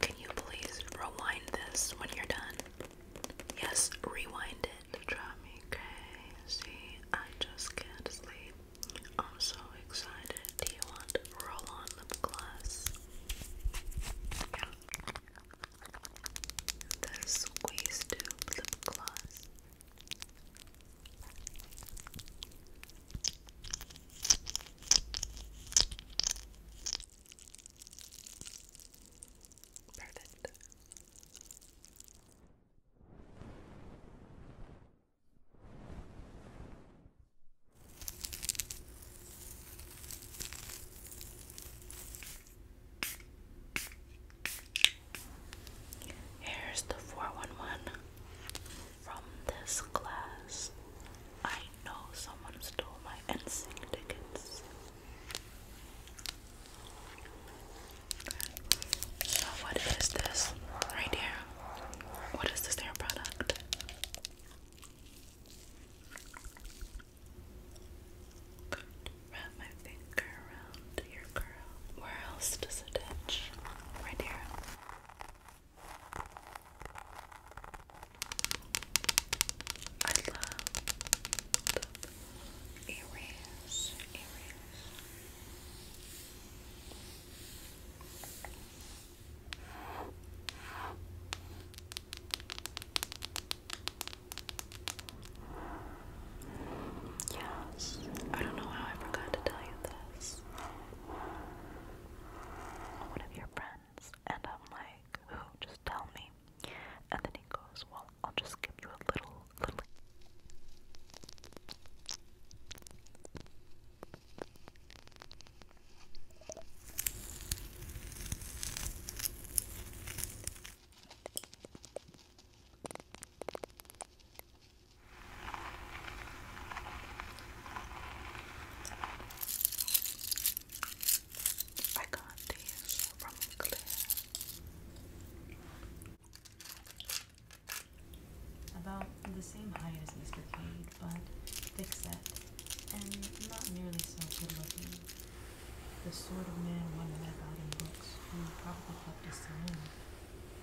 Can you please rewind this when you're done? Yes, rewind it. Drive me crazy. I just can't sleep. I'm so excited. Do you want roll on lip gloss? Yeah. The squeeze tube lip gloss. Perfect. Here's the four one one. From this class, I know someone stole my NSYNC tickets. So what is this right here? What is this hair product? Wrap my finger around your curl. Where else does it itch? Right here. I love the earrings, Yes, I don't know how I forgot to tell you this one of your friends? And I'm like, who? Just tell me. And then he goes, well, I'll just give you a little, little. I got these from About the same height as Mr. Cade, but thick set and not nearly so good looking. The sort of man one women about in books who probably kept us saloon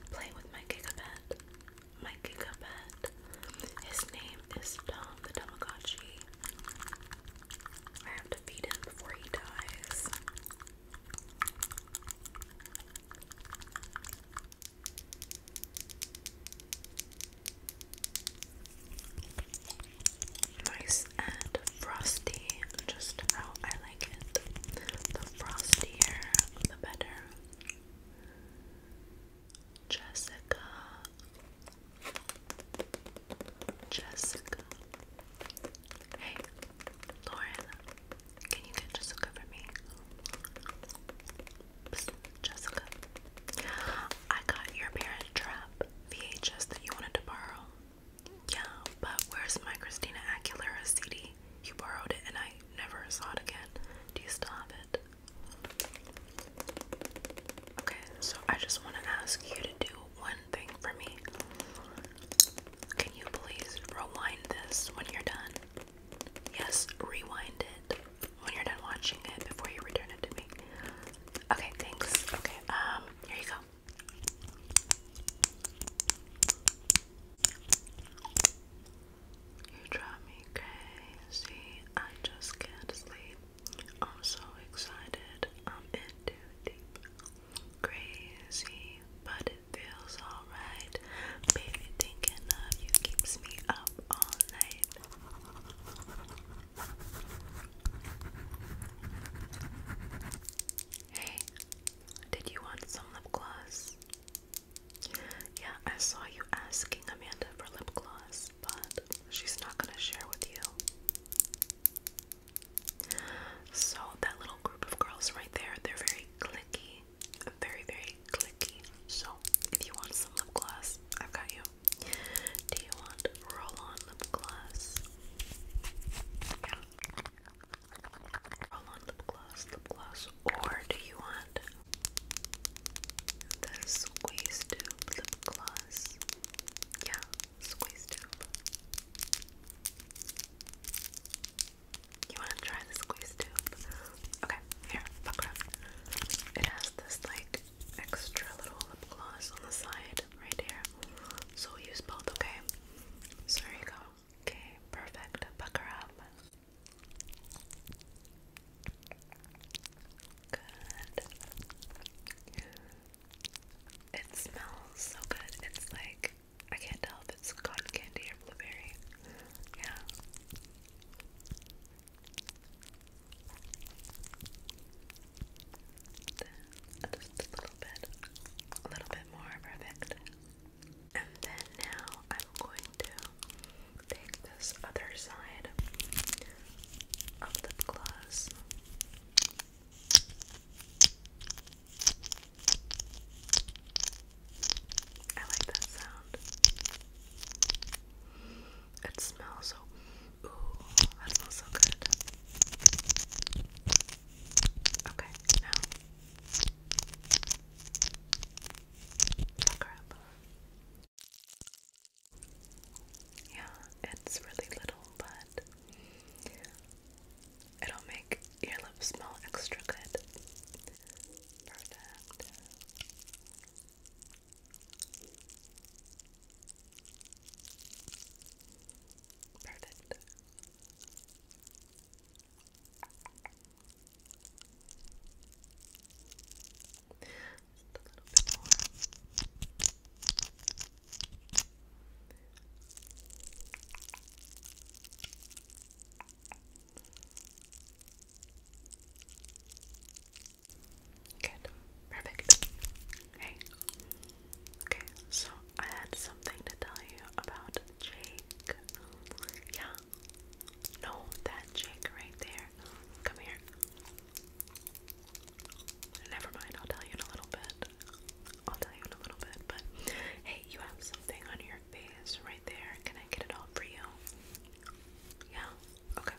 I'm playing with my Gigapet. My Gigapet. His name is Tom the Tamagotchi. I have to feed him before he dies. Nice and frosty, just how I like it. The frostier, the better. Jessica. Jessica. Hey, Lauren, can you get Jessica for me? Jessica. I got your parent trap VHS that you wanted to borrow. Yeah, but where's my Christina Aguilera CD? You borrowed it and I never saw it again. Do you still have it? Okay, so I just want to ask you to do one thing for me. Can you please rewind this when you're done? Yes, rewind it when you're done watching it before you return it to me. Okay, thanks. Okay, um, here you go. You drive me crazy. I just can't sleep. I'm so excited. I'm in too deep. Crazy, but it feels alright. thinking of you keeps me up all night. Hey, did you want some lip gloss? Yeah, I saw you asking Amanda for lip gloss, but she's not gonna share with you. So, that little group of girls right there, they're very clicky. Very, very clicky. So if you want some lip gloss, I've got you. Do you want roll-on lip gloss? Yeah. Roll-on lip gloss, lip gloss, or do you want the squeeze tube lip gloss? Yeah, squeeze tube. You want to try the squeeze tube? Okay, here, fuck around. It has this like extra little lip gloss on the side right here. So use both, okay? So there you go. Okay, perfect. Pucker up. Good. It smells so good. It's like I can't tell if it's cotton candy or blueberry. Yeah just a little bit, a little bit more perfect. And then now I'm going to take this other side of lip gloss. I like that sound. It smells so. Ooh, that smells so good. Okay, now. Look Yeah, it's really little, but it'll make your lips smell extra good. Perfect. Perfect. Just a little bit more. Good. Perfect. Hey. Okay, so I had something to tell you about Jake. Yeah. No, that Jake right there. Come here. Never mind, I'll tell you in a little bit. I'll tell you in a little bit, but hey, you have something on your face right there. Can I get it all for you? Yeah. Okay,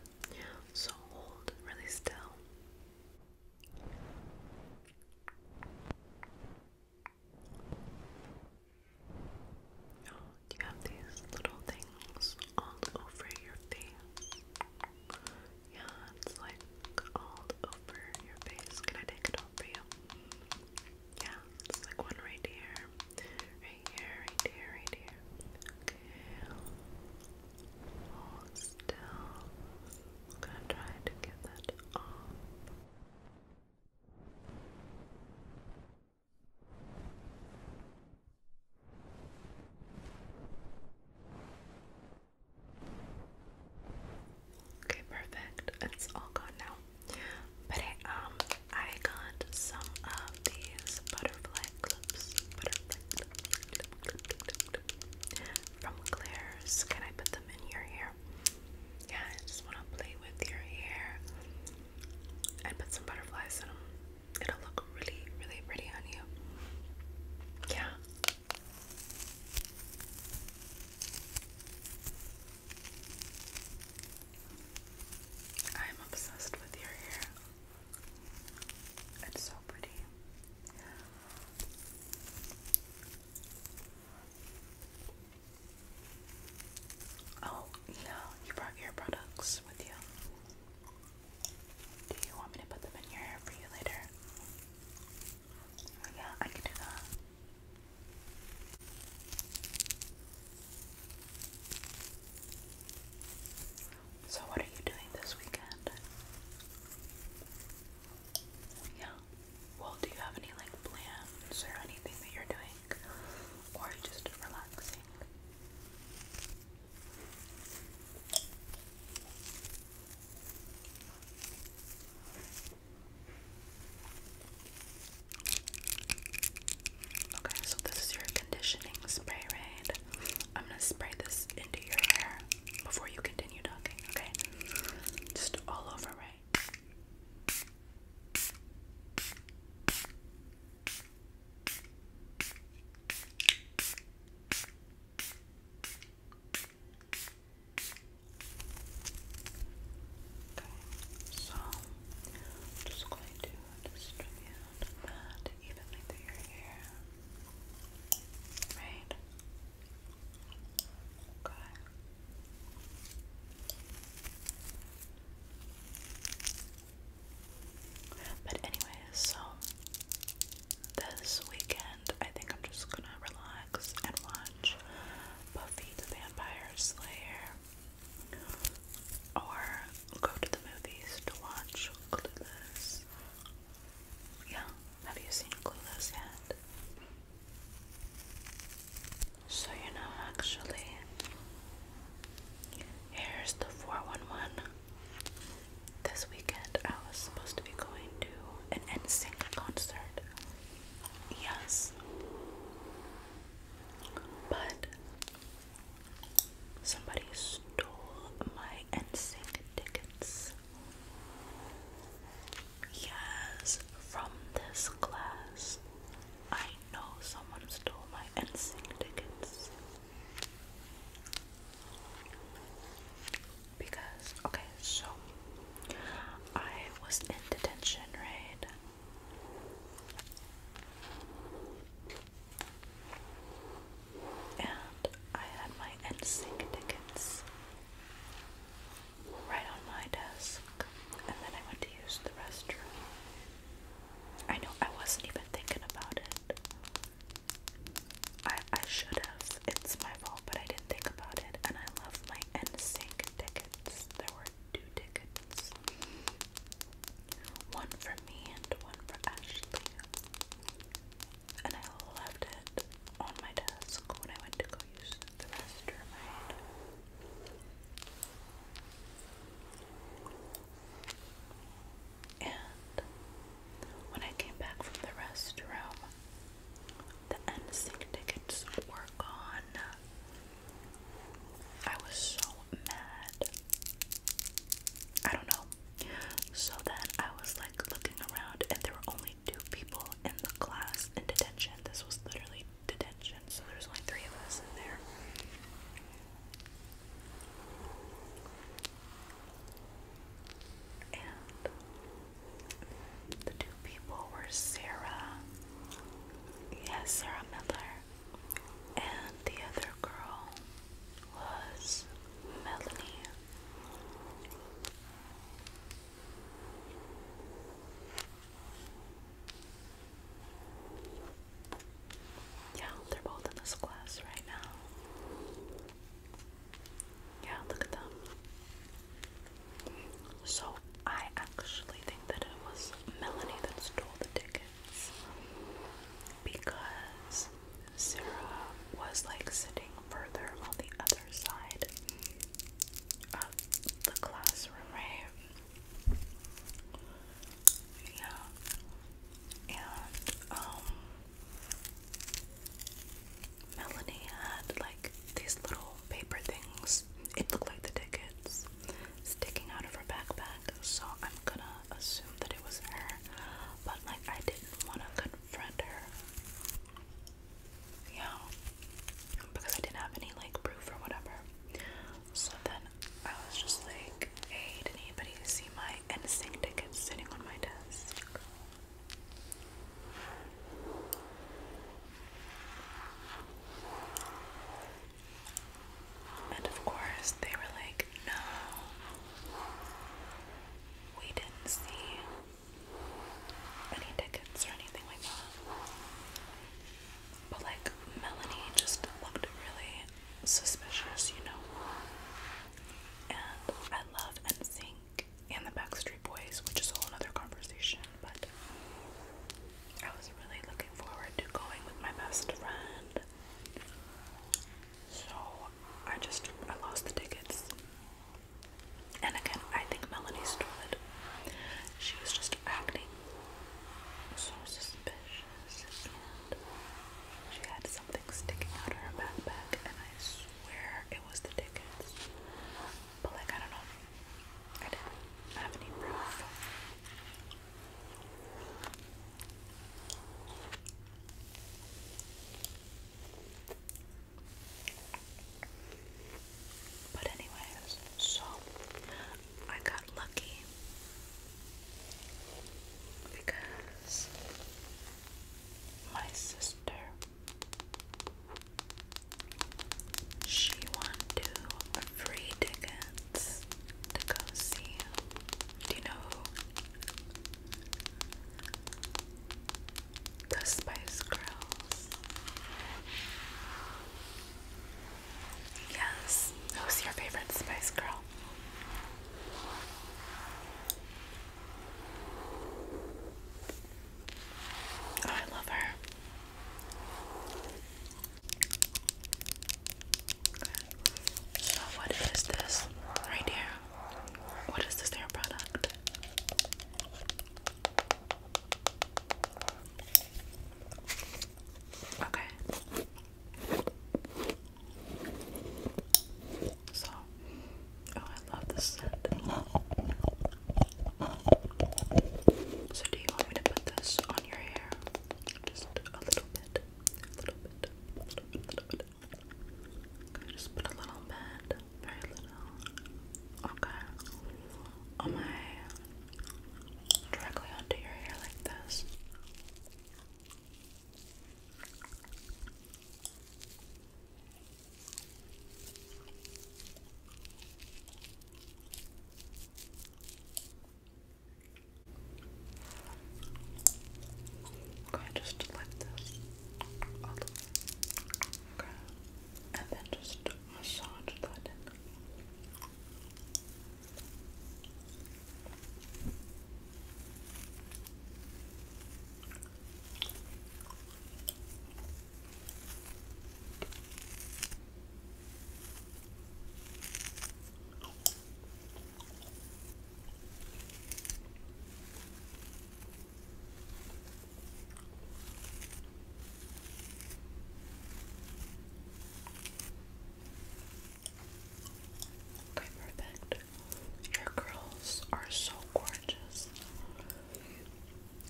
so hold really still. Oh, you have these little things all over your face? Yeah, it's like all over your face. I take it off for you? Yeah, it's like one right here, right here, right still. I'm gonna try to get that off. Okay, perfect. It's all gone now. But um I got some of these butterfly clips, from Claire's. Can I put them in your hair? Yeah, I just want to play with your hair and put some butterflies in them. It'll look really, really pretty on you. Yeah. I'm obsessed with your hair. It's so pretty. Oh, yeah, you brought your products with you. Do you want me to put them in your hair for you later? Oh, yeah, I can do that. So, what are you doing this weekend? Yeah. Well, do you have any like plans or anything that you're doing? Or just relaxing? Okay, so this is your conditioning spray raid. I'm gonna spray this into your hair before you continue talking, okay? Just all over, right? Okay, so just going to distribute that evenly through your hair. Right? Okay. But anyway, so this weekend I think I'm just gonna relax and watch Buffy the Vampire Slayer or go to the movies to watch Clueless. Yeah, have you seen Clueless yet? So, you know, actually, here's the 411. This weekend I was supposed to be going to an NSYNC concert. Yes. But Somebody stole my NSYNC tickets. Yes, from this class. I know someone stole my NSYNC tickets. Because, okay, so I was in detention, right? And I had my NSYNC tickets right on my desk. And then I went to use the restroom. I know I wasn't even thinking about it. I I should have. It's my fault, but I didn't think about it. And I love my NSYNC tickets. There were two tickets. One for me and one for Ashley. And I left it on my desk when I went to go use the restroom. And when I came back from the restroom, the NSYNC tickets were gone. I was so mad. I don't know. So then I was like looking around, and there were only two people in the class in detention. This was literally detention, so there's only three of us in there. And the two people were Sarah, yes, Sarah Miller, and the other girl was Melanie. Yeah, they're both in this class right now. Yeah, look at them. So I actually think that it was Melanie that stole the ticket because Sarah was like sitting further on the other side of the classroom, right? Yeah. And um Melanie had like these little paper things. It looked like the tickets sticking out of her backpack. So I'm gonna assume that it was her, but like I didn't want to confront her. Yeah, because I didn't have any like proof or whatever. So then I was just like, hey, did anybody see my NSYNC tickets sitting on my desk? And of course, they were like, no, we didn't see any tickets or anything like that. But like, Melanie just looked really suspicious, you know? And I love NSYNC and the Backstreet Boys, which is a whole other conversation, but I was really looking forward to going with my best friend so I just I lost the tickets. And again, I think Melanie stole it. She was just acting so suspicious, and she had something sticking out of her backpack, and I swear it was the tickets. But like I don't know, I didn't have any proof. But anyways, so I got lucky because my sister she won two free tickets to go see Do you know the Spice Girls. Yes, who's your favorite Spice Girl? Oh, I love her. So what is this right here? What is this hair product? Okay. So, oh, I love this scent. So, do you want me to put this on your hair? Just a little bit, a little bit, a little bit, just put a little bit, very little. Okay. On my directly onto your hair like this. Okay, just like this Okay. And then just massage that in. Okay, perfect. Your curls are so gorgeous.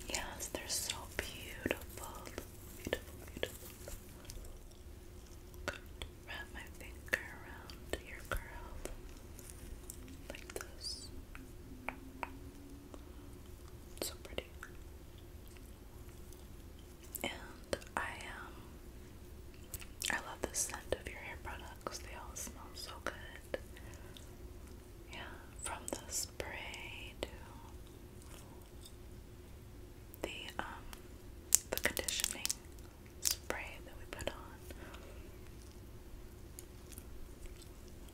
Yes, they're so beautiful. Beautiful, beautiful. Wrap my finger around your curl like this. So pretty. And I um I love the scent of your hair products. They all smell so good. Yeah, from the spray to the um the conditioning spray that we put on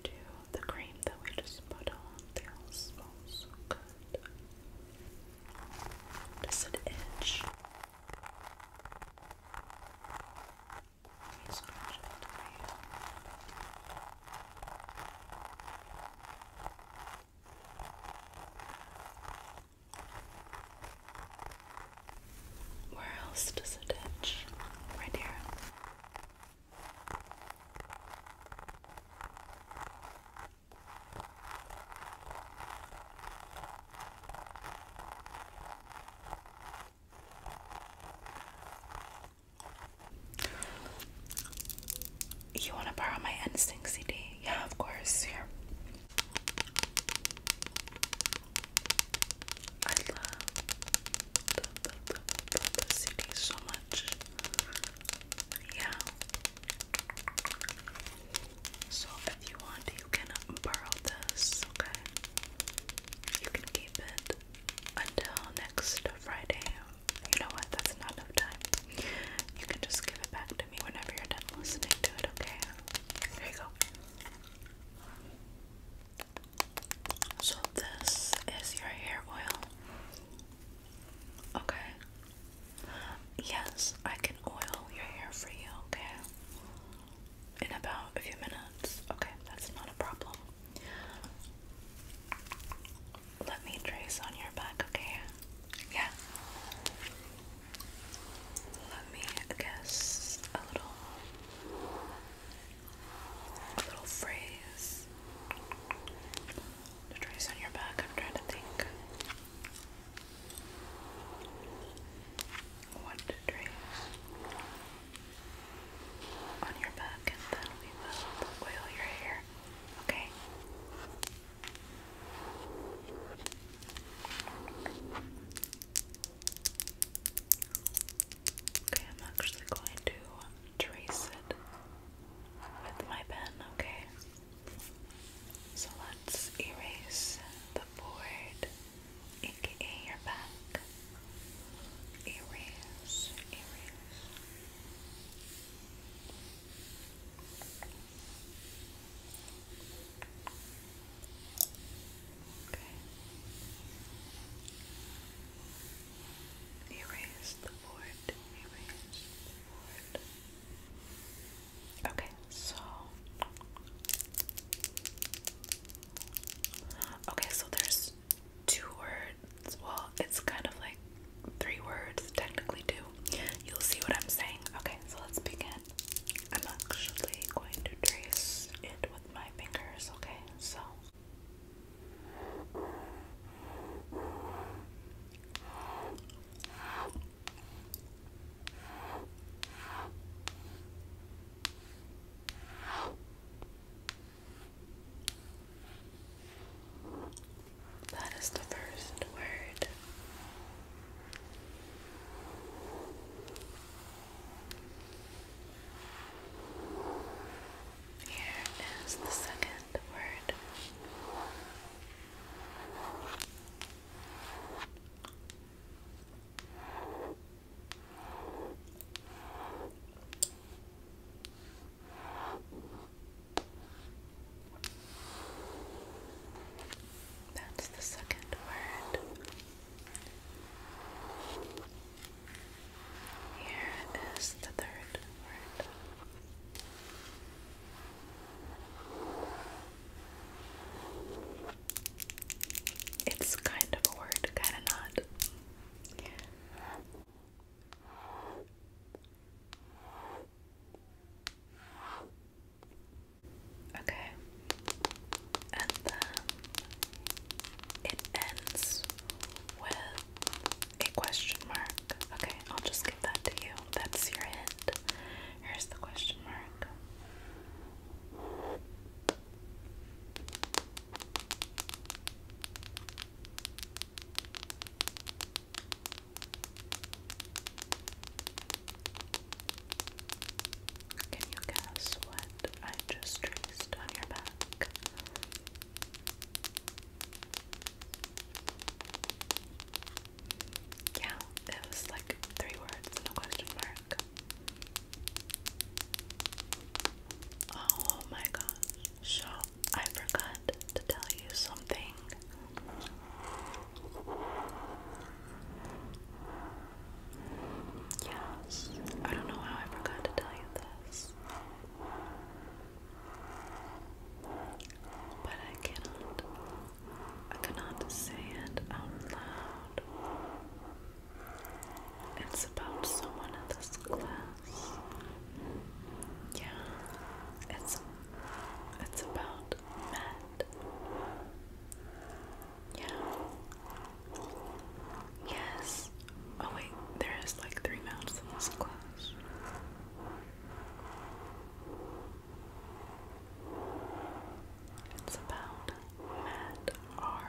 to the cream that we just put on. They all smell so good. Does it itch? Where else does it itch? Right here. You want to borrow my NSYNC CD? Yeah, of course. Here. I love the, the, so much. Yeah. So if you want, you can borrow this, okay? You can keep it until next Friday. You know what? That's not enough time. You can just give it back to whenever you're done listening to it, okay? There you go. So, this is your hair oil. Okay. Yes, I can oil your hair for you, okay? In about a few minutes. Okay, that's not a problem. Let me trace on your back, okay? Yeah. Let me guess a little little phrase to on your back. I'm trying to think. What to on your back and then we will oil your hair. Okay. Okay, I'm actually going to trace it with my pen, okay? So let's erase the board, aka your back. Erase, erase. Erase the board. Okay, so. Okay, so there's two words. Well, it's kind of like three words, technically two. You'll see what I'm saying. Okay, so let's begin. I'm actually going to trace it with my fingers, okay? So that is the first word. Here is the second word. That's the second word. Here is the third word. It's kind of a word, kind of not. Okay. And then it ends with a question mark. Okay, I'll just give that to you. That's your hint. Here's the question mark. Can you guess what I just traced on your back? Yeah, it was like three words and question mark. Oh my gosh. So I forgot to tell you something. Yes. I don't know how I forgot to tell you this. But I cannot. I cannot say it out loud. It's about someone in this class. Yeah. It's it's about Matt. Yes. Oh wait, there is like three mouths in this It's about Matt R.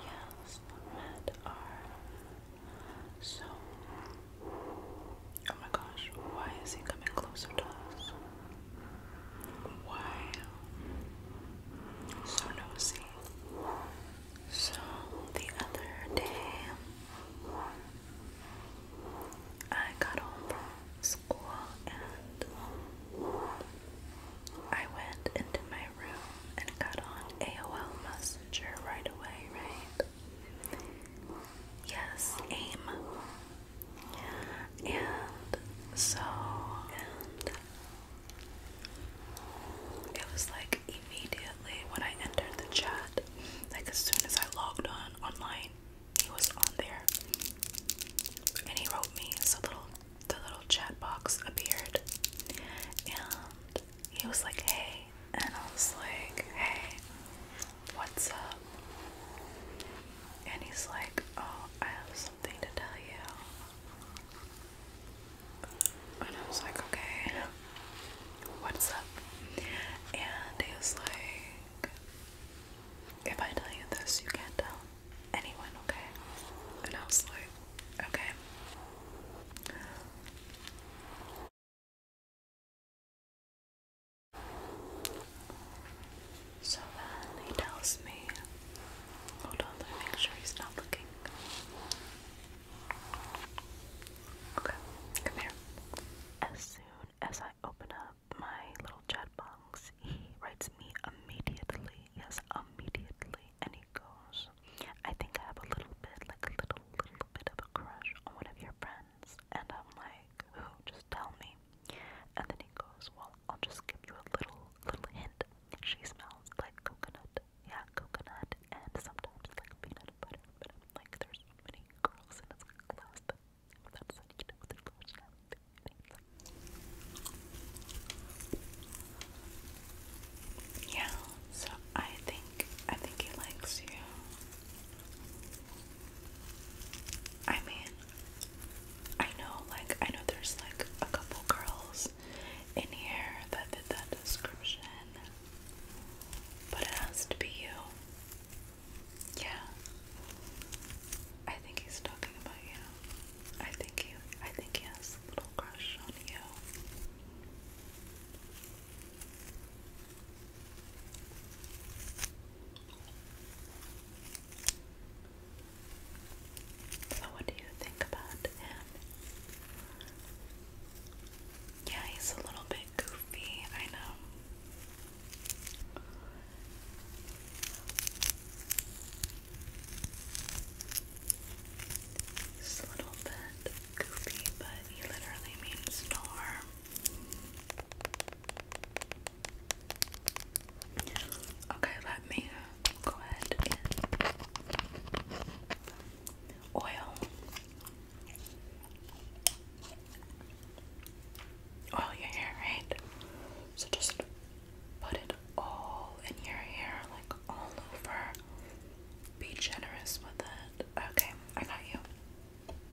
Yes, Matt R. So, oh my gosh, why is he coming closer to us? Wow. So nosy. So the other day I got home from school and I went into my room and got on AOL Messenger right away, right? Yes, AIM and so and it was like immediately when I entered the chat, like as soon as I logged on online, he was on there, and he wrote me. So little the little chat box appeared, and he was like, "Hey," and I was like, "Hey." what's up? And he's like, oh, I have something to tell you. And I was like, okay, what's up? And he like, if I tell you this, you can't tell anyone, okay? And I was like, okay. So then he tells me, hold on, let me make sure he's not looking. Okay, come here. As soon as I open up my little chat box, he writes me immediately. Yes, immediately. And he goes, I think I have a little bit, like a little, little bit of a crush on one of your friends. And I'm like, who? Just tell me. And then he goes, well, I'll just give you a little, little hint. She smells like coconut. Yeah, coconut and sometimes like peanut butter. But I'm like, there's so many girls in this class that, that said, you know, there's large yeah, so I think I think he likes you. I mean, I know, like, I know there's like a couple girls in here that did that description, but it has to be you. Yeah. I think he's talking about you. I think you. I think he has a little crush on you. So, what do you think about him? Yeah, he's a little bit goofy, I know. He's a little bit goofy, but he literally means storm. Okay, let me go ahead and oil. Oil your hair, right? So just put it all in your hair, like all over. Be generous with it. Okay, I got you.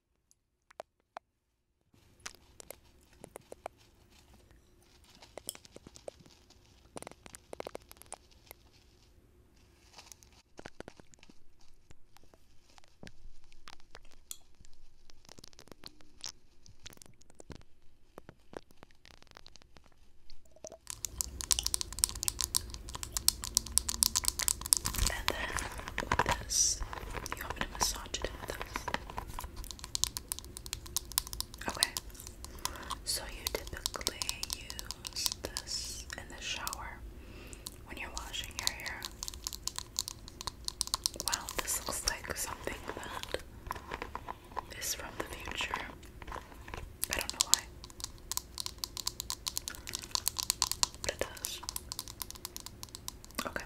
And then this, you want me to massage Okay. So you typically use this in the shower when you're washing your hair. Wow, this looks like something that is from the future. I don't know why. But it does. Okay.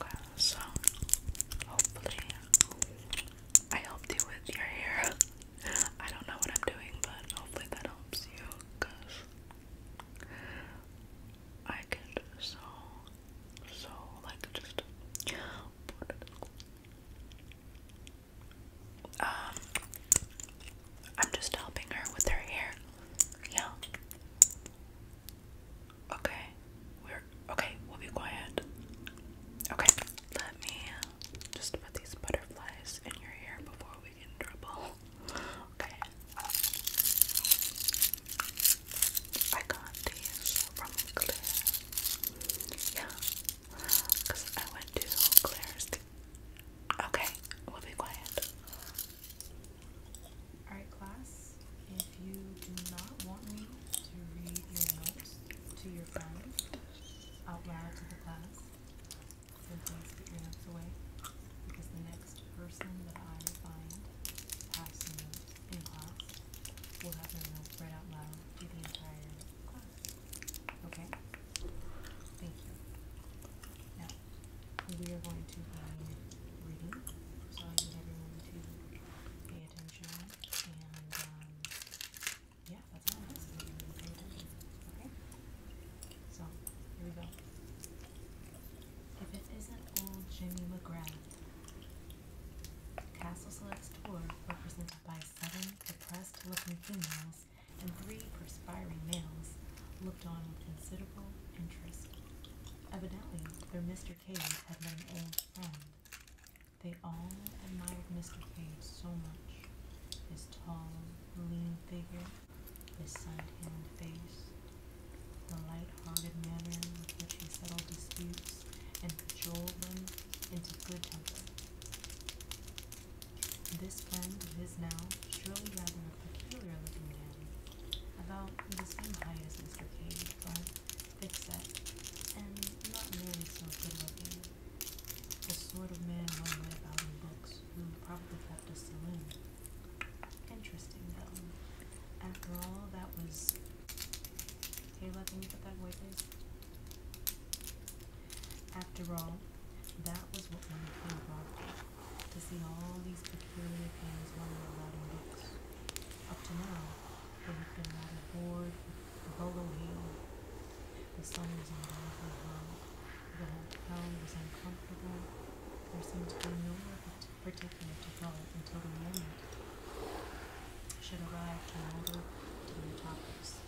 Okay, so hopefully I helped you with your hair. I don't know what I'm doing, but hopefully that helps you because I get so, so like just um, I'm just helping her with her hair. Yeah. Okay. We're okay, we'll be quiet. Okay. Let me just put these butterflies in your hair before we get in trouble. Okay. I got these from Claire. Yeah. Because I went to Claire's. Okay, we'll be quiet. Alright, class, if you do not want me to read your notes to your friends out loud to the class, then please put your notes away because the next person that I find passing some notes in class will have their notes read out loud to the entire class. Okay? Thank you. Now we are going to be reading. So I need everyone to pay attention and um, yeah, that's all it is. Okay? So here we go. If it isn't old Jimmy McGrath, Castle Select's tour represented by seven depressed looking females and three perspiring males looked on with considerable interest. Evidently, their Mr. Cave had been an old friend. They all admired Mr. Cave so much his tall, lean figure, his sun tanned face, the light hearted manner with which he settled disputes and cajoled them into good temper. This friend of his now strode rather a peculiar looking man, about the same height as Mr. Cave, but thick-set, and not nearly so good-looking. The sort of man one read about in books, who probably kept a saloon. Interesting, though. After all, that was... Taylor, can you put that away, please? After all, that was what one of Bob did to see all these peculiar things one were allowed in books. Up to now, they had been rather the Bolo Hill. The sun was unbearably high. The whole town was uncomfortable. There seemed to be no particular to go until the moment should arrive to motor the metropolis.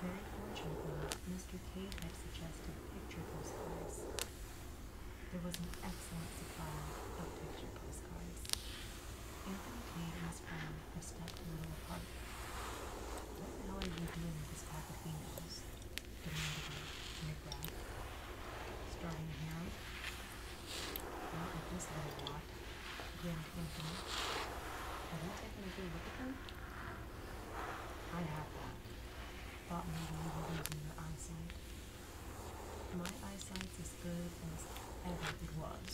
Very fortunately, Mr. Cade had suggested picture postcards. There was an excellent supply of picture postcards. Anthony and his friend were stuck in a little What the hell are you doing with this pack of females? demanded he in a Not with this little lot, grinned Anthony. Have you taken a good look I have bought my mother in her eyesight. My eyesight's as good as ever it was.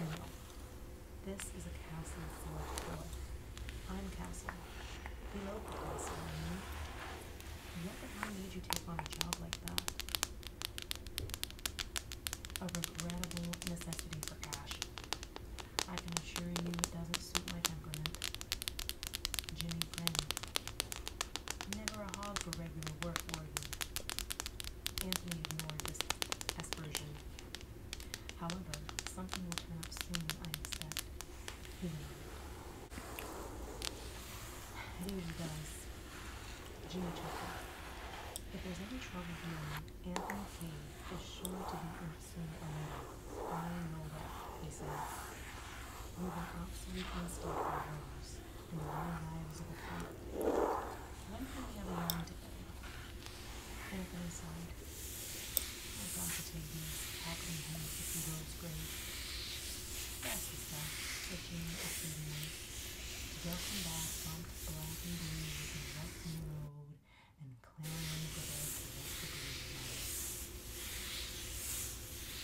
No, this is a castle forged wood. I'm castle. Below the castle, I mean. What the hell you take on a job like that? A regrettable necessity for cash. I can assure you it doesn't suit my temperament. Jimmy grinned. Never a hog for regular work, were Anthony ignored this aspersion. However, something will turn up soon, I expect. He It does. Jimmy chuckled. If there's any trouble here, Anthony Kane is sure to be in I know that, he says We were absolutely constant for When can we have a moment together? Anthony I thought the tables, tackling him if he rose grave. Yes, he said, the To Just come back, bump black and blue the road and clearing the way for rest of the night.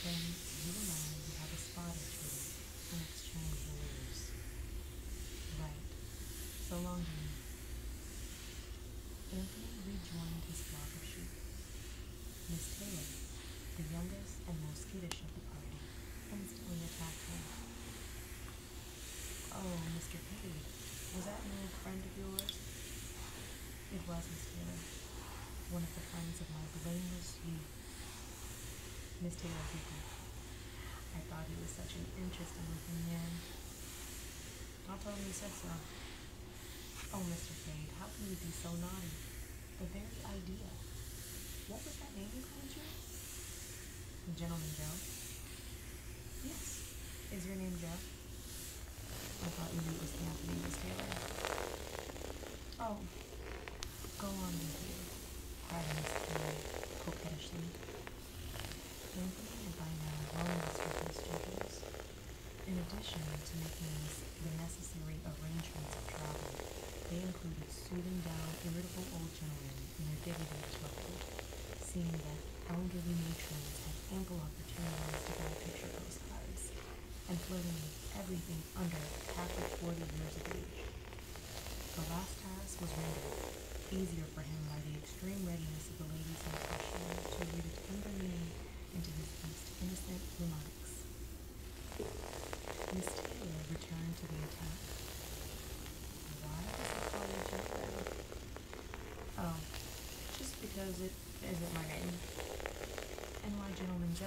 Then you and I would have a spot spotter treaty and exchange news. Right. So long, dear. Anthony rejoined his flock of sheep. Miss Taylor, the youngest and most skittish of the party, instantly attacked her. Oh, Mr. Piggy, was that a friend of yours? It was Miss Taylor, one of the friends of my blameless youth. Miss Taylor I thought he was such an interesting looking man. I told him you said so. Oh, Mr. Fade, how can you be so naughty? The very idea. What was that name you called you? Gentleman Joe? Yes. Is your name Joe? I thought you knew what was happening, Miss Taylor. Oh, go on with you, cried Miss Taylor coquettishly. Anthony by now grown his with struggles. In addition to making the necessary arrangements of travel, they included soothing down irritable old gentlemen in their dignity to seeing that elderly matrons had ample opportunities to buy picture posters and flirting with everything under half of forty years of age. The last task was rendered easier for him by the extreme readiness of the ladies in question to read it eagerly into his most innocent remarks. Miss Taylor returned to the attack. Why does the college look Oh, just because it isn't my name. And why Gentleman Joe?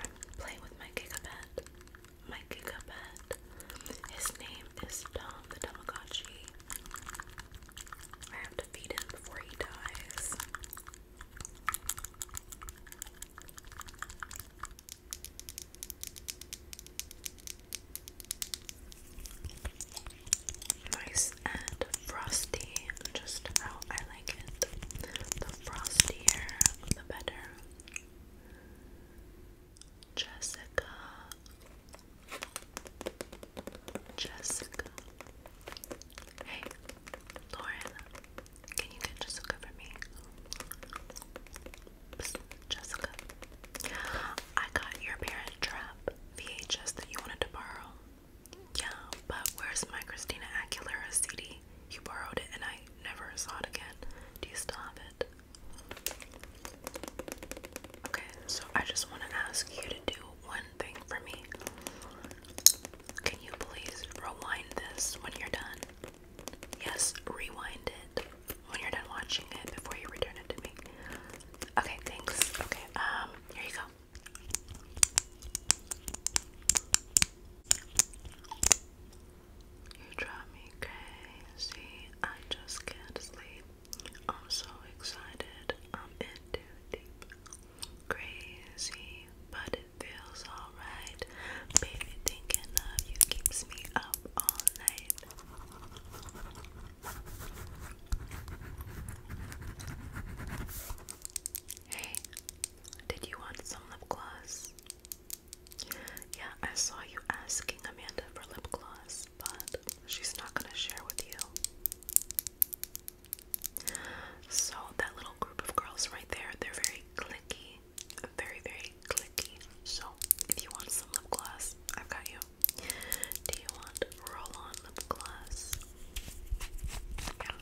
I'm playing with my Gigapet. My Gigapet. His name is Tom the Tamagotchi. I have to feed him before he dies. Nice and frosty, just how I like it. The frostier, the better. Jessica, Jessica. Hey, Lauren, can you get Jessica for me? Jessica, I got your Parent Trap VHS that you wanted to borrow. Yeah, but where's my Christina Aguilera CD? You borrowed it and I never saw it again. Do you still have it? Okay, so I just want to ask you to do one thing for me. Can you please rewind this when you're done? Yes, rewind it when you're done watching it before you return it to me. Okay, thanks. Okay, um, here you go. You drive me crazy. I just can't sleep. I'm so excited. I'm in too deep. Crazy, but feels alright. Baby, thinking of you keeps me up all night. Hey, did you want some lip gloss? Yeah, I saw you asking Amanda for lip gloss, but she's not gonna share with you. So that little group of girls right there, they're very clicky. Very, very clicky. So if you want some lip gloss, I've got you. Do you want roll-on lip gloss? Yeah.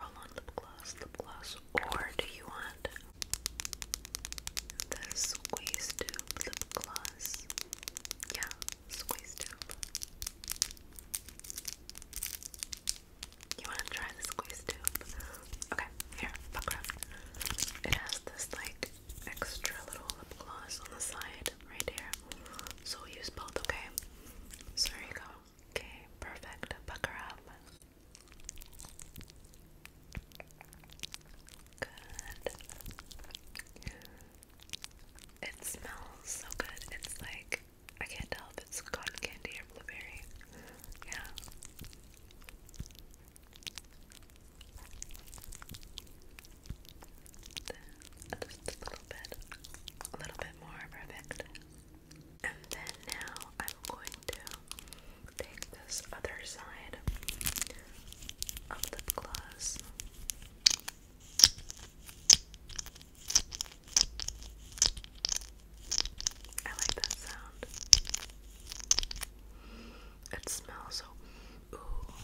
Roll-on lip gloss, lip gloss. Or do you want the squeeze tube lip gloss? Yeah, squeeze tube. You want to try the squeeze tube? Okay, here, buckle up. It has this like extra little lip gloss on the side right here. So we'll use both, okay? So there you go. Okay, perfect. Bucker up. Good. It smells so good. It's like I can't tell if it's cotton candy or blueberry. Yeah. just a little bit, a little bit more perfect. And then now I'm going to take this other side of lip gloss I like that sound. It smells so. Ooh,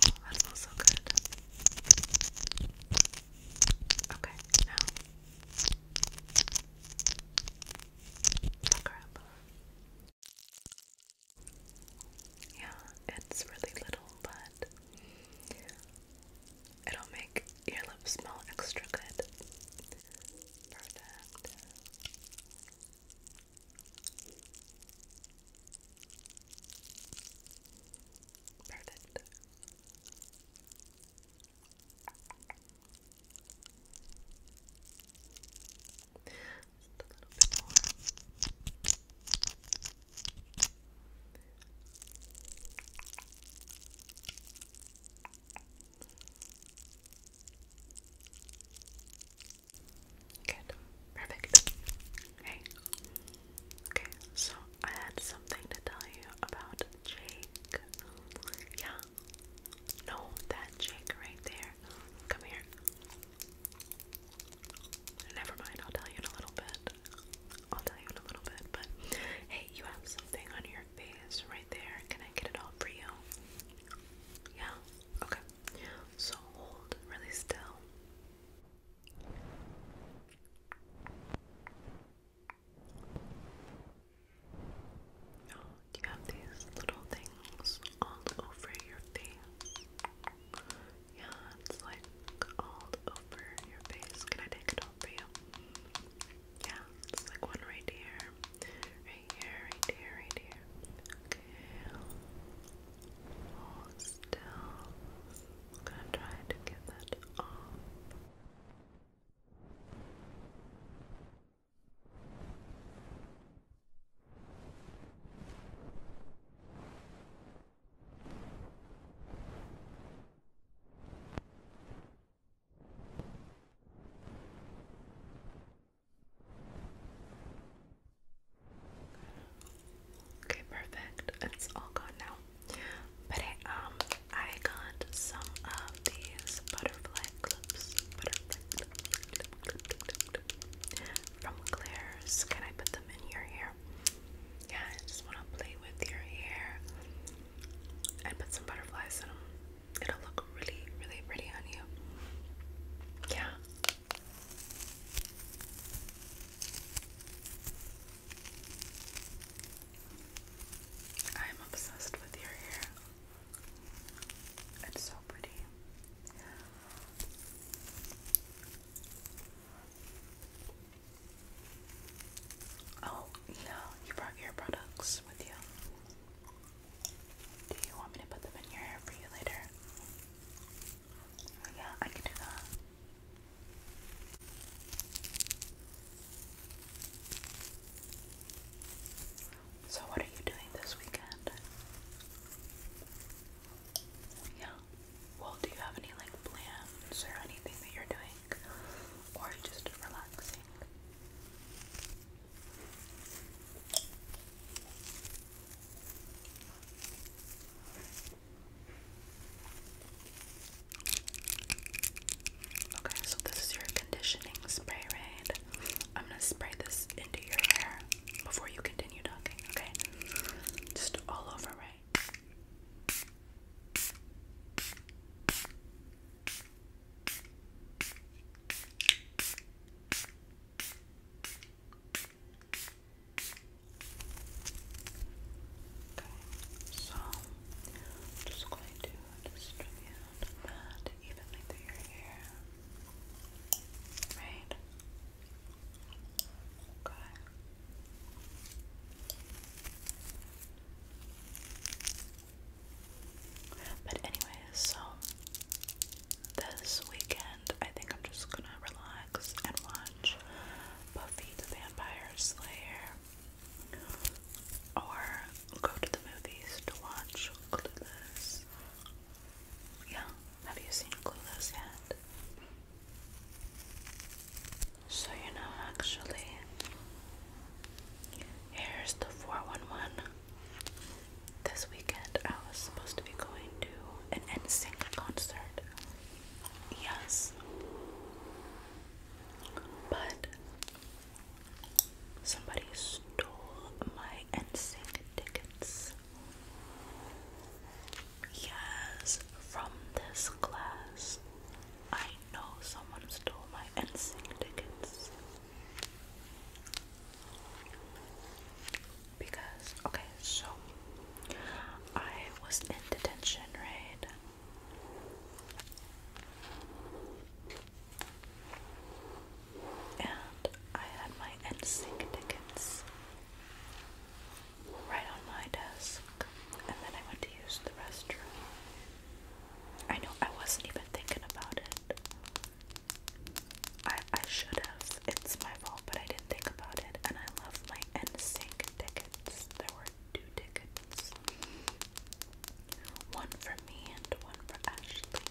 that smells so good. Okay, now. Look Yeah, it's really little, but It'll make your lips smell extra good. Perfect. Perfect. Good. Perfect. Hey. Okay, so I had something to tell you about Jake. Yeah. No, that Jake right there. Come here. Never mind, I'll tell you in a little bit. I'll tell you in a little bit, but hey, you have something on your face right there. Can I get it all for you? Yeah? Okay. So hold really still. Oh, you have these little things all over your face? Yeah, it's like all over your face. Can I take it off for you? Yeah, it's like one right here, right here, right here, right here. Okay. still. gonna try to get that off. Okay, perfect. It's all gone now. But um, I got some of these butterfly clips, from Claire's. Can I put them in your hair? Yeah, I just want to play with your hair and put some butterflies in them. It'll look really, really pretty on you. Yeah. I am obsessed with your hair. It's so pretty. Oh, yeah, you brought your products with you. Do you want me to put them in your hair for you later? Oh, yeah, I can do that. So, what are you doing this weekend? Yeah. Well, do you have any like plans or anything that you're doing? or just relaxing. Okay, so this is your conditioning spray raid. I'm gonna spray this into your hair before you continue talking, okay? Just all over, right? right. Okay, so just going to distribute that evenly through your hair. Right? Okay. But anyways, so this weekend I think I'm just gonna relax and watch Buffy the Vampire Slayer or go to the movies to watch Clueless. Yeah, have you seen Clueless yet? So, you know, actually, here's the 411. This weekend, I was supposed to be going to an NSYNC concert. Yes. But somebody stole my NSYNC tickets. Yes, from this class. I know someone stole my NSYNC tickets. Because, okay, so I was in detention, right? And I had my NSYNC tickets right on my desk, and then I went to use the restroom. I know I wasn't even thinking about it. I I should have. It's my fault, but I didn't think about it. And I love my NSYNC tickets. There were two tickets. One for me and one for Ashley.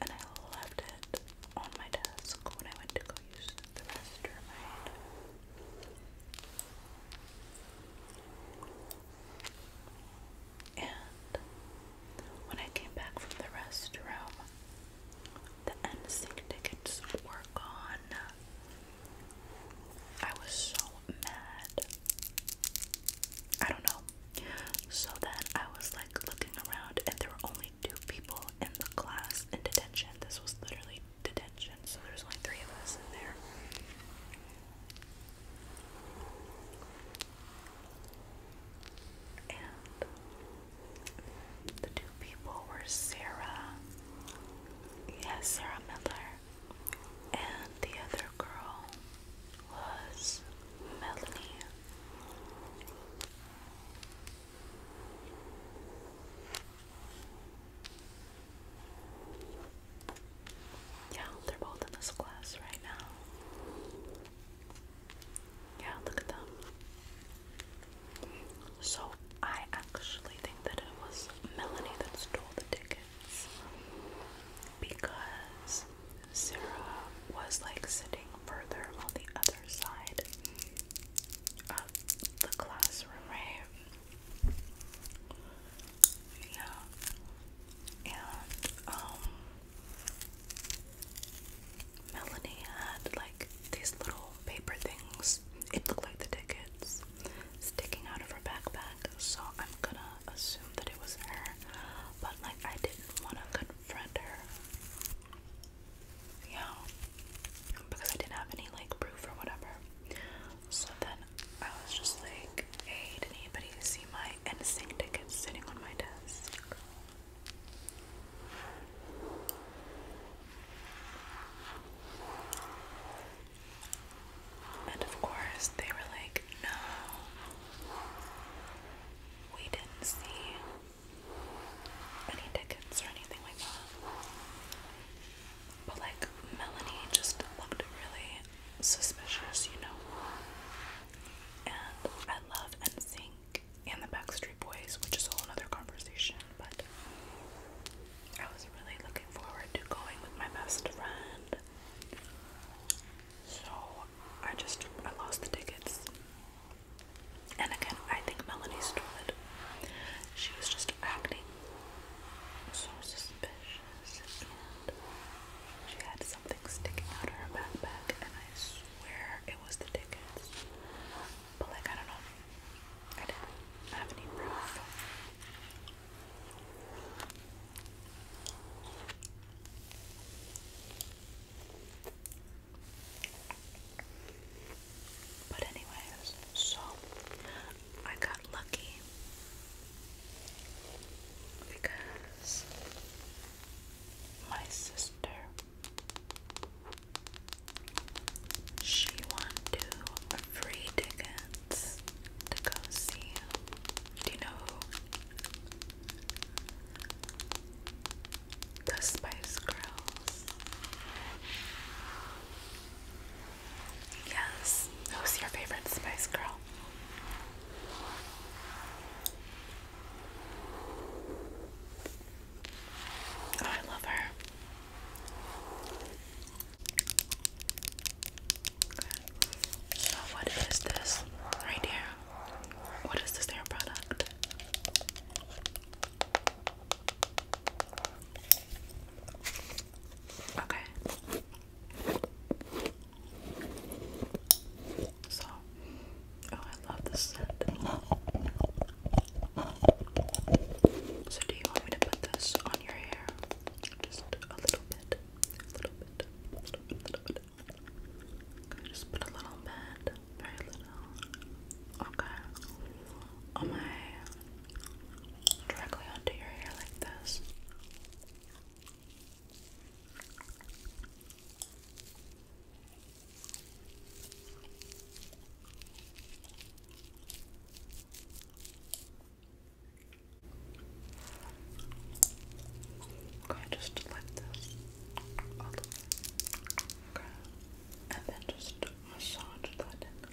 And I left it on my desk when I went to go use the restroom. And when I came back from the restroom, the NSYNC tickets were gone. I was so mad. I don't know. So then I was like looking around, and there were only two people in the class in detention. This was literally detention, so there's only three of us in there. And the two people were Sarah, yes, Sarah Miller, and the other girl was Melanie. Yeah, they're both in this class right now. Yeah, look at them. So, I actually think that it was Melanie that stole the tickets because Sarah was like sitting further on the other side of the classroom, right? Yeah. And um Melanie had like these little paper things. It looked like the tickets sticking out of her backpack, so I'm gonna assume that it was her. But like I didn't wanna confront her. Yeah. Because I didn't have any like proof or whatever. So then I was just like, hey, did anybody see my NSYNC tickets sitting on my desk? And of course, they were like, no, we didn't see any tickets or anything like that. But like Melanie just looked really suspicious, you know. And I love NSYNC and the Backstreet Boys, which is a whole other conversation, but I was really looking forward to going with my best friend. So I just I lost the tickets. And again, I think Melanie stole it. She was just acting so suspicious suspicious and she had something sticking out of her backpack and I swear it was the tickets. But like I don't know. I didn't have any proof. But anyways, so I got lucky because my sister she won two free tickets to go see do you know The Spice Girls. Yes. Who's your favorite Spice Girl? Oh, I love her. So, what is this right here? What is this hair product? Okay. So, oh, I love this scent. So, do you want me to put this on your hair? Just a little bit, little bit, little bit, little bit. just put a little bit, very little. Okay. On my directly onto your hair like this. Okay, just like this Okay. And then just massage that in.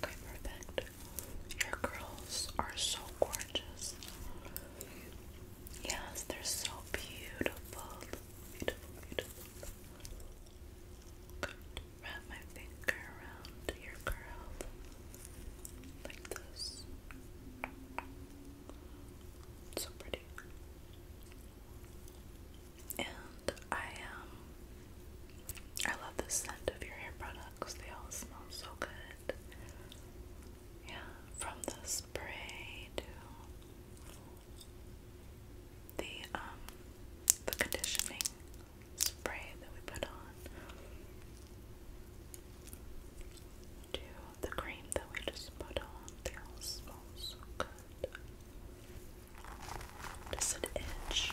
perfect. Your curls are so gorgeous. Yes, they're so beautiful. Beautiful, beautiful. Wrap my finger around your curl like this. So pretty and I um I love the scent of your hair products. They all smell so good. Yeah, from the spray to the um the conditioning spray that we put on to the cream that we just put on. They all smell so good. Does it itch?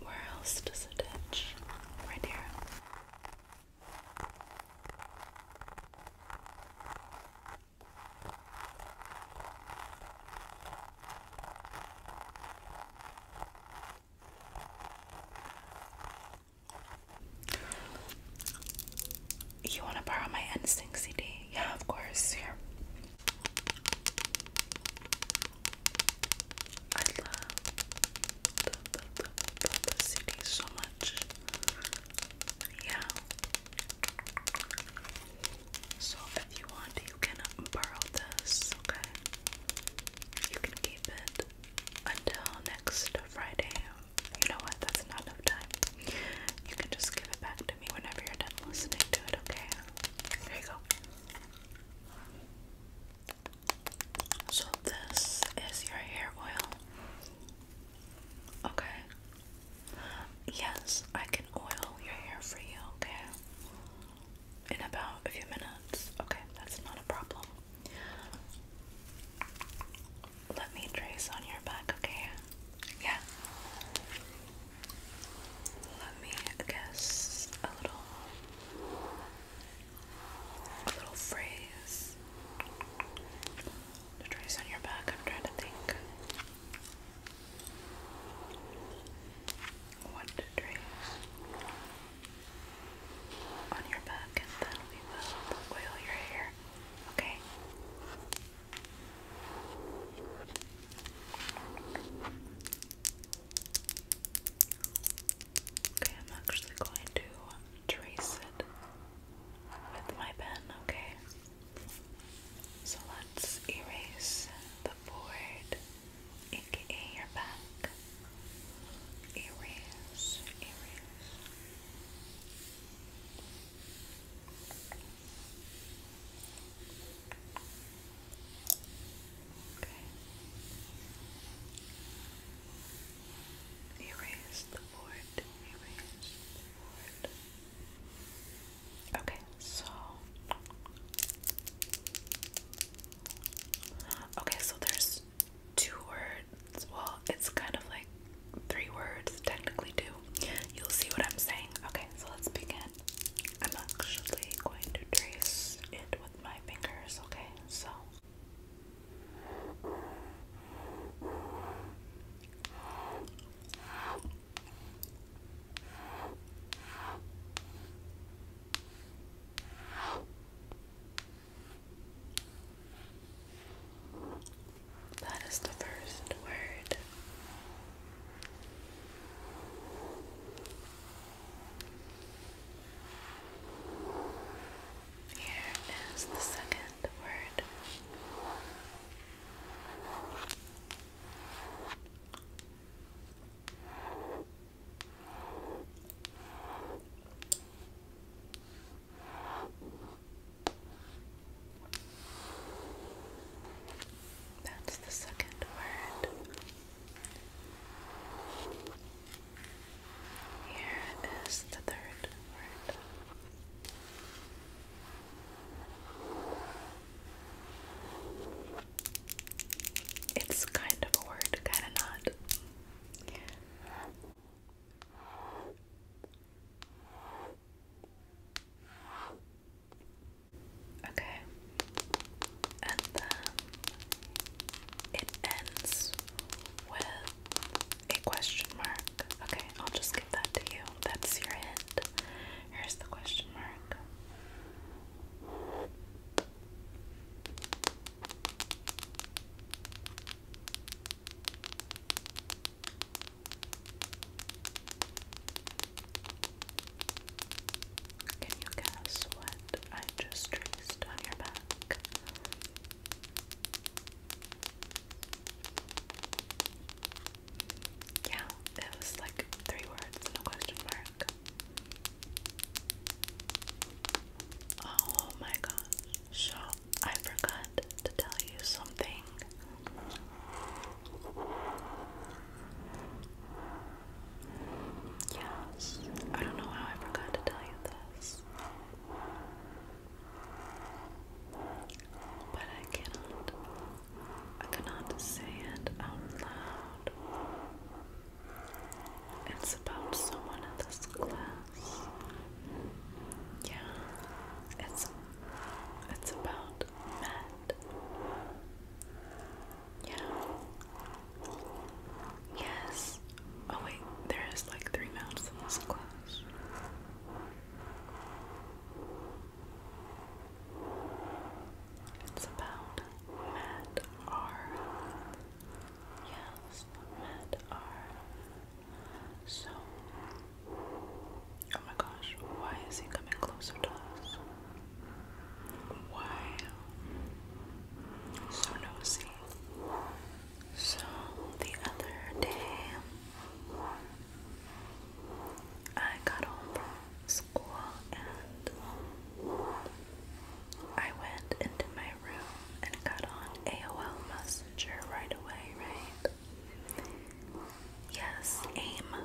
Where else does it itch? Right here. You want to borrow my NSYNC CD? Yeah, of course. Here. I love the, the, the, the, the CD so much. Yeah. So if you want, you can borrow this, okay? You can keep it until next Friday. You know what? That's not enough time. You can just give it back to me whenever you're done listening to it, okay? There you go. So this is your hair oil. Okay. Yes, I can oil your hair for you, okay? In about a few minutes. Okay, that's not a problem. Let me trace on your back, okay? Yeah. Let me guess a little little phrase trace on your back, I'm trying to think. What to trace on your back, and then we will oil your hair. Okay. Okay, I'm actually going to trace it with my pen, okay? So let's erase the board, aka your back. Erase, erase. Okay. Erase the board, erase the board. Okay, so Okay, so there's two words. Well, it's kind of like three words, technically two. You'll see what I'm saying. Okay, so let's begin. I'm actually going to trace it with my fingers, okay? So that is the first word. Here is the second word. That's the second word. Here is the third word. It's kind of a word, kind of not. Okay, and then it ends with a question mark. Okay, I'll just give that to you. That's your end. Here's the question mark. Can you guess what I just traced on your back? Yeah, it was like three words and question mark. Oh my gosh. So I forgot to tell you something. Yes. I don't know how I forgot to tell you this. But I cannot I cannot say it out loud. It's about someone in this class. Yeah, it's it's about Matt. Yeah. Yes. Oh wait, there is like three mouths in this class. It's about Matt R. Yes, Matt R. So, oh my gosh, why is he coming closer to us? Why? So nosy. So, the other day, I got home from school and I went into my room and got on AOL Messenger right away, right? Yes, AIM.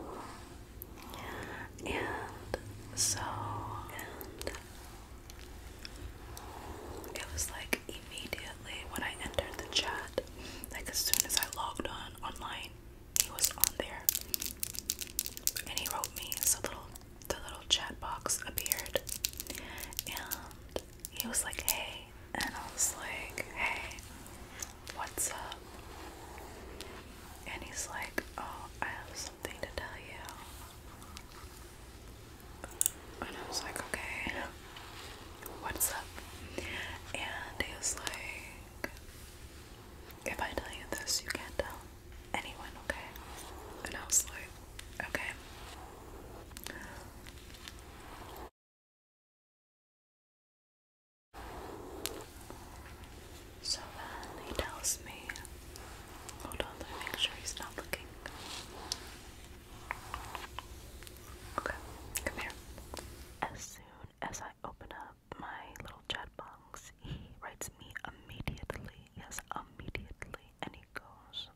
And so, it was like immediately when I entered the chat, like as soon as I logged on, online. He was on there, and he wrote me. So little the little chat box appeared, and he was like, "Hey," and I was like, "Hey, what's up?" And he's like, "Oh, I have something to tell you." And I was like, "Okay." what's up? And he was like, if I tell you this, you can't tell anyone, okay? And I was like, okay. So then he tells me, hold on, let me make sure he's not looking. Okay, come here as I open up my little chat box, he writes me immediately. Yes, immediately. And he goes,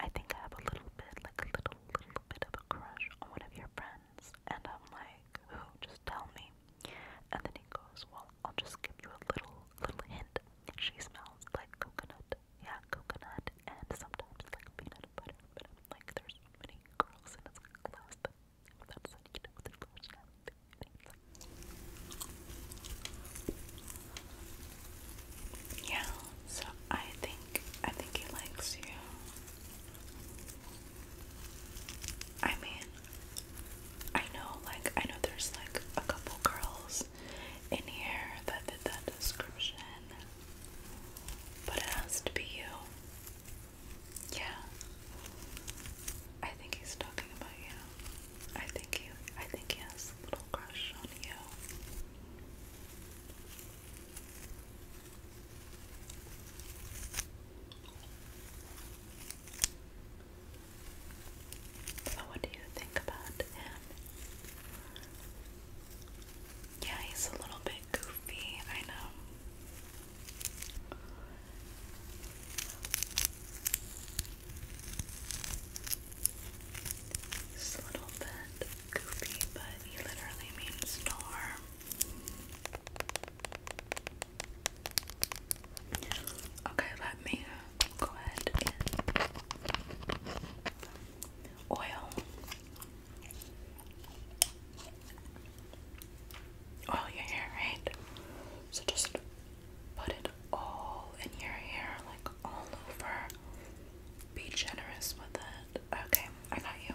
I think I have a little bit, like a little, little bit of a crush on one of your friends. And I'm like, who? Just tell me. And then he goes, well, I'll just give you a little, little hint. She smells like coconut. Yeah, coconut. And sometimes like peanut butter. Like, there's so many girls in his class that, that said, you know, they lost everything. Like, yeah, so I think, I think he likes you. I mean, I know, like, I know there's, like, a couple girls in here that did that description, but it has to be you. Yeah. I think he's talking about you. I think he I think he has a little crush on you. So what do you think about him? Yeah, he's a little bit goofy, I know a little bit goofy, but he literally means no Okay, let me go ahead oil all your hair, right? So just put it all in your hair, like all over. Be generous with it. Okay, I got you.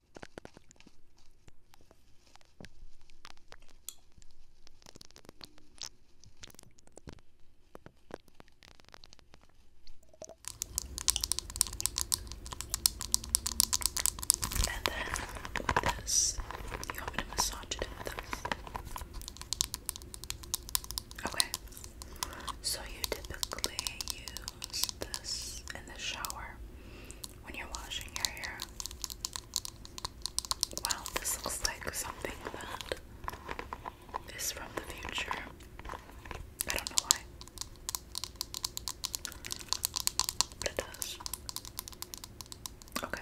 And then with this, you want to massage it with this? Okay. So you typically use this in the shower when you're washing your hair. Wow, this looks like something that is from the future. I don't know why. But it does. Okay.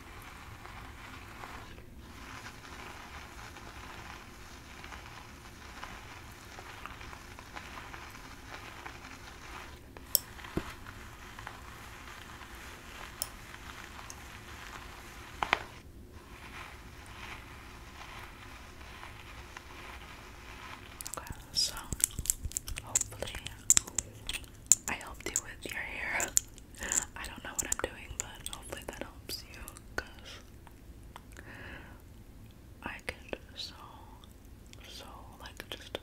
Okay, so I helped you with your hair. I don't know what I'm doing, but hopefully that helps you because I get so, so like just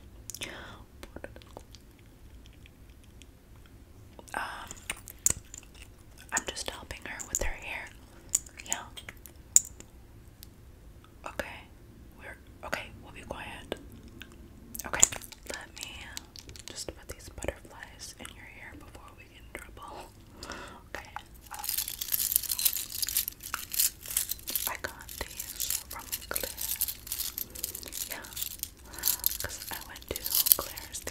um, I'm just helping her with her hair. Yeah. Okay. We're okay. We'll be quiet. Okay. Let me just put these butterflies in your hair before we get in trouble. Okay. I got these from Claire. Yeah. Because I went to Claire's.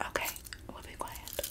Okay, we'll be quiet.